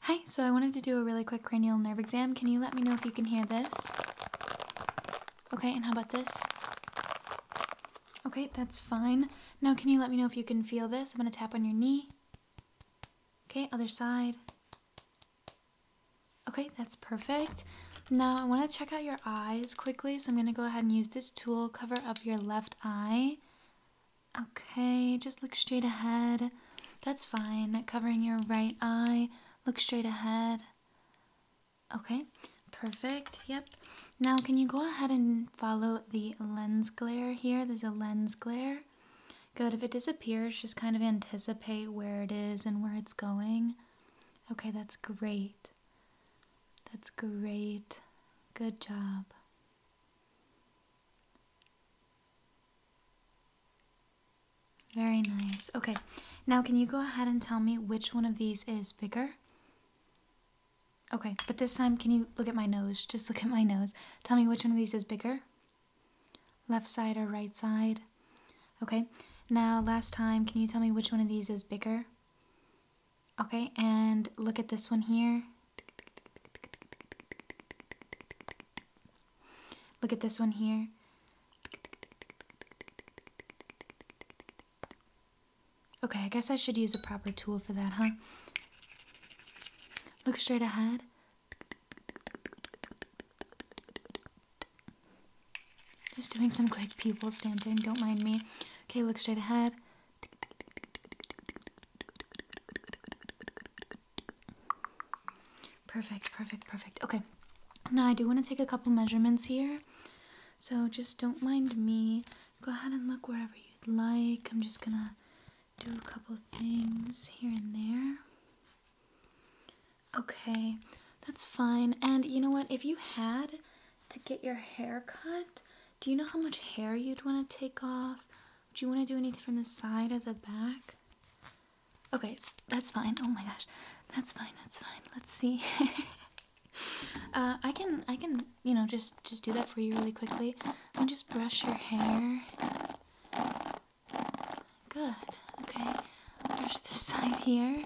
Hi, so I wanted to do a really quick cranial nerve exam. Can you let me know if you can hear this? Okay, and how about this? Okay, that's fine. Now, can you let me know if you can feel this? I'm going to tap on your knee. Okay, other side. Okay, that's perfect. Now, I want to check out your eyes quickly, so I'm going to go ahead and use this tool, cover up your left eye. Okay, just look straight ahead. That's fine. Covering your right eye. Look straight ahead. Okay, perfect. Yep. Now, can you go ahead and follow the lens glare here? There's a lens glare. Good. If it disappears, just kind of anticipate where it is and where it's going. Okay, that's great. That's great. Good job. Very nice. Okay, now can you go ahead and tell me which one of these is bigger? Okay, but this time can you look at my nose? Just look at my nose. Tell me which one of these is bigger? Left side or right side? Okay, now last time can you tell me which one of these is bigger? Okay, and look at this one here. Look at this one here. Okay, I guess I should use a proper tool for that, huh? Look straight ahead. Just doing some quick people stamping, don't mind me. Okay, look straight ahead. Perfect, perfect, perfect. Okay, now I do want to take a couple measurements here. So just don't mind me. Go ahead and look wherever you'd like. I'm just gonna do a couple things here and there. Okay, that's fine. And you know what? If you had to get your hair cut, do you know how much hair you'd want to take off? Do you want to do anything from the side of the back? Okay, that's fine. Oh my gosh, that's fine. That's fine. Let's see. Uh, I can, I can, you know, just just do that for you really quickly. And just brush your hair. Good. Okay, brush this side here.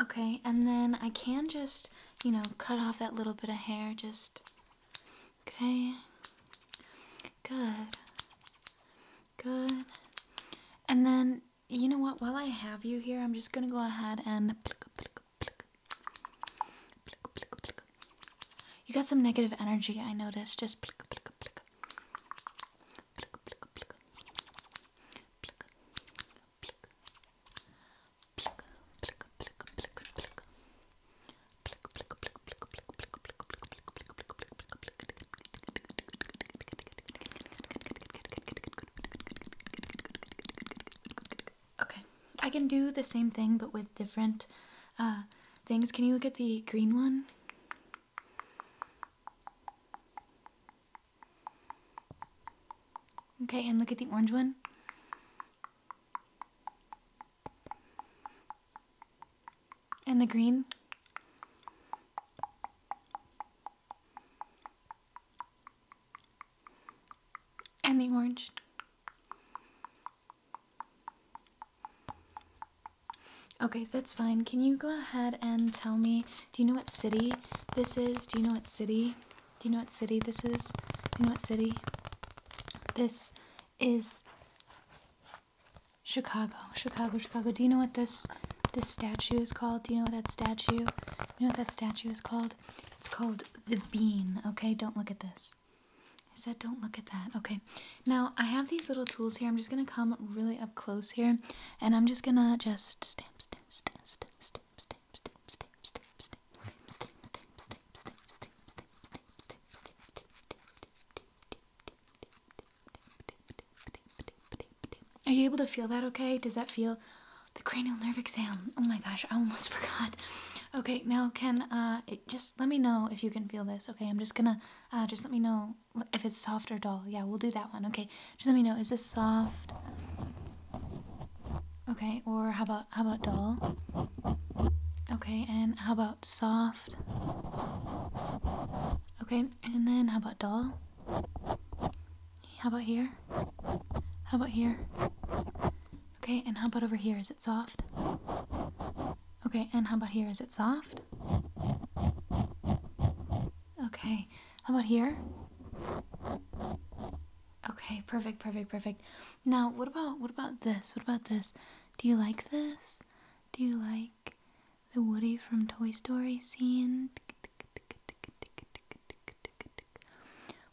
Okay, and then I can just, you know, cut off that little bit of hair, just. Okay. Good. Good. And then, you know what? While I have you here, I'm just gonna go ahead and. You got some negative energy, I noticed. Just. Okay, I can do the same thing but with different uh, things. Can you look at the green one? Okay, and look at the orange one. And the green. And the orange. Okay, that's fine. Can you go ahead and tell me do you know what city this is? Do you know what city? Do you know what city this is? Do you know what city? This is Chicago. Chicago, Chicago. Do you know what this this statue is called? Do you know what that statue? You know what that statue is called? It's called the bean. Okay, don't look at this. I said don't look at that. Okay. Now I have these little tools here. I'm just gonna come really up close here and I'm just gonna just stand are you able to feel that okay? Does that feel the cranial nerve exam? Oh my gosh, I almost forgot. Okay, now can uh just let me know if you can feel this. Okay, I'm just gonna uh just let me know if it's soft or dull. Yeah, we'll do that one. Okay, just let me know. Is this soft? Okay, or how about how about dull? Okay, and how about soft? Okay, and then how about dull? How about here? How about here? Okay, and how about over here? Is it soft? Okay, and how about here? Is it soft? Okay. How about here? Okay, perfect, perfect, perfect. Now, what about what about this? What about this? Do you like this? Do you like the Woody from Toy Story scene?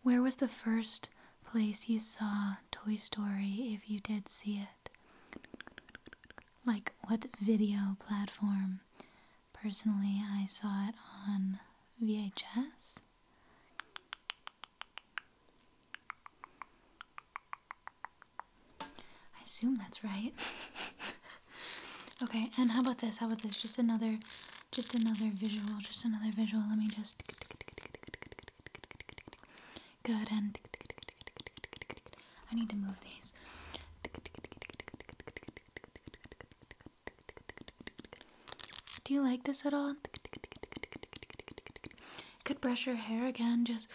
Where was the first place you saw Toy Story if you did see it? like what video platform. Personally, I saw it on VHS. I assume that's right. okay, and how about this? How about this? Just another just another visual, just another visual. Let me just good and I need to move these. Do you like this at all? Could brush your hair again, just.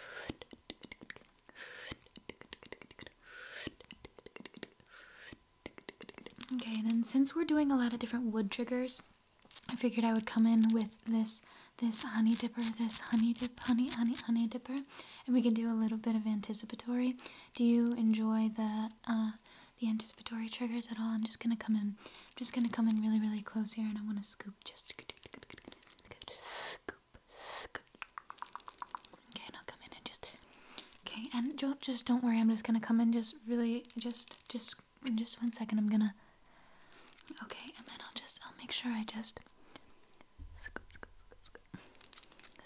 Okay, then since we're doing a lot of different wood triggers, I figured I would come in with this this honey dipper, this honey dip, honey, honey, honey dipper, and we can do a little bit of anticipatory. Do you enjoy the uh, the anticipatory triggers at all? I'm just gonna come in, I'm just gonna come in really, really close here, and I want to scoop just. Okay, and I'll come in and just. Okay, and don't just don't worry. I'm just gonna come in just really just just in just one second. I'm gonna. Okay, and then I'll just I'll make sure I just scoop, scoop, scoop, scoop,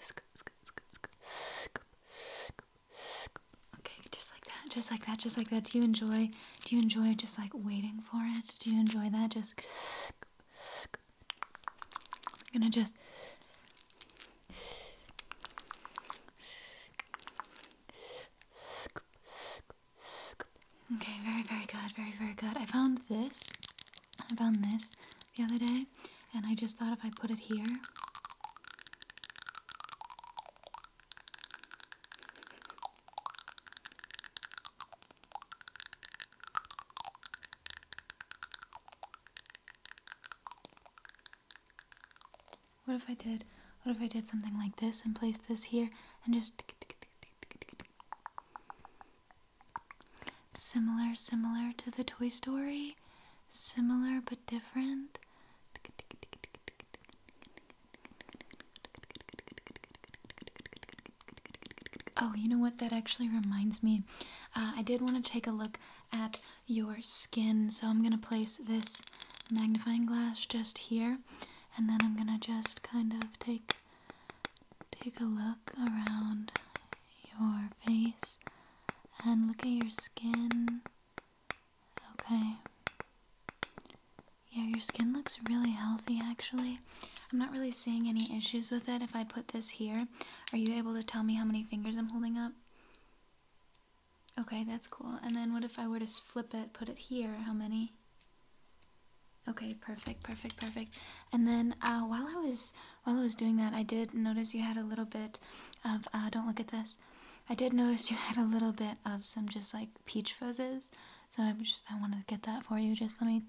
scoop, scoop, scoop, scoop, scoop, scoop. Okay, just like that, just like that, just like that. Do you enjoy? Do you enjoy just like waiting for it? Do you enjoy that? Just. I'm gonna just. Okay, very, very good, very, very good. I found this. I found this the other day, and I just thought if I put it here. What if I did? What if I did something like this and placed this here and just Similar, similar to the Toy Story. Similar but different. Oh, you know what? That actually reminds me. Uh, I did want to take a look at your skin, so I'm going to place this magnifying glass just here, and then I'm going to just kind of take Take a look around your face and look at your skin. Okay. Yeah, your skin looks really healthy actually. I'm not really seeing any issues with it. If I put this here, are you able to tell me how many fingers I'm holding up? Okay, that's cool. And then what if I were to flip it, put it here? How many? Okay, perfect, perfect, perfect. And then uh, while I was while I was doing that, I did notice you had a little bit of uh, don't look at this. I did notice you had a little bit of some just like peach fuzzes, so I just I wanted to get that for you. Just let me.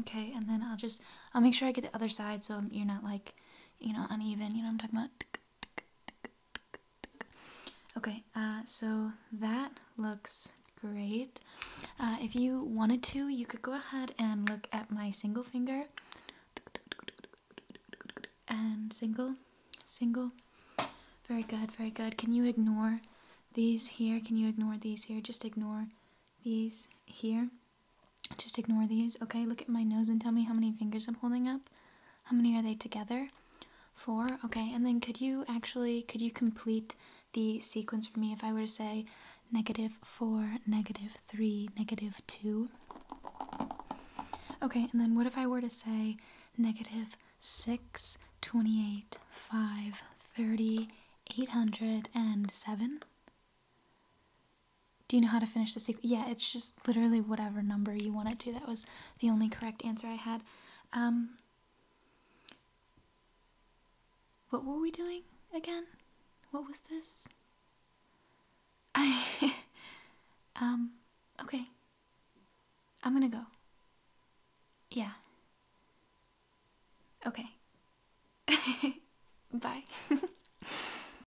Okay, and then I'll just I'll make sure I get the other side so you're not like you know uneven. You know what I'm talking about. Okay, uh, so that looks great. Uh, if you wanted to, you could go ahead and look at my single finger. And single, single. Very good, very good. Can you ignore these here? Can you ignore these here? Just ignore these here. Just ignore these, okay? Look at my nose and tell me how many fingers I'm holding up. How many are they together? Four. Okay, and then could you actually, could you complete the sequence for me if I were to say negative four, negative three, negative two? Okay, and then what if I were to say negative six, twenty eight, five, thirty, eight hundred and seven. Do you know how to finish the sequence? Yeah, it's just literally whatever number you want it to. That was the only correct answer I had. Um, what were we doing again? What was this? I um, okay. I'm gonna go. Yeah. Okay. Bye.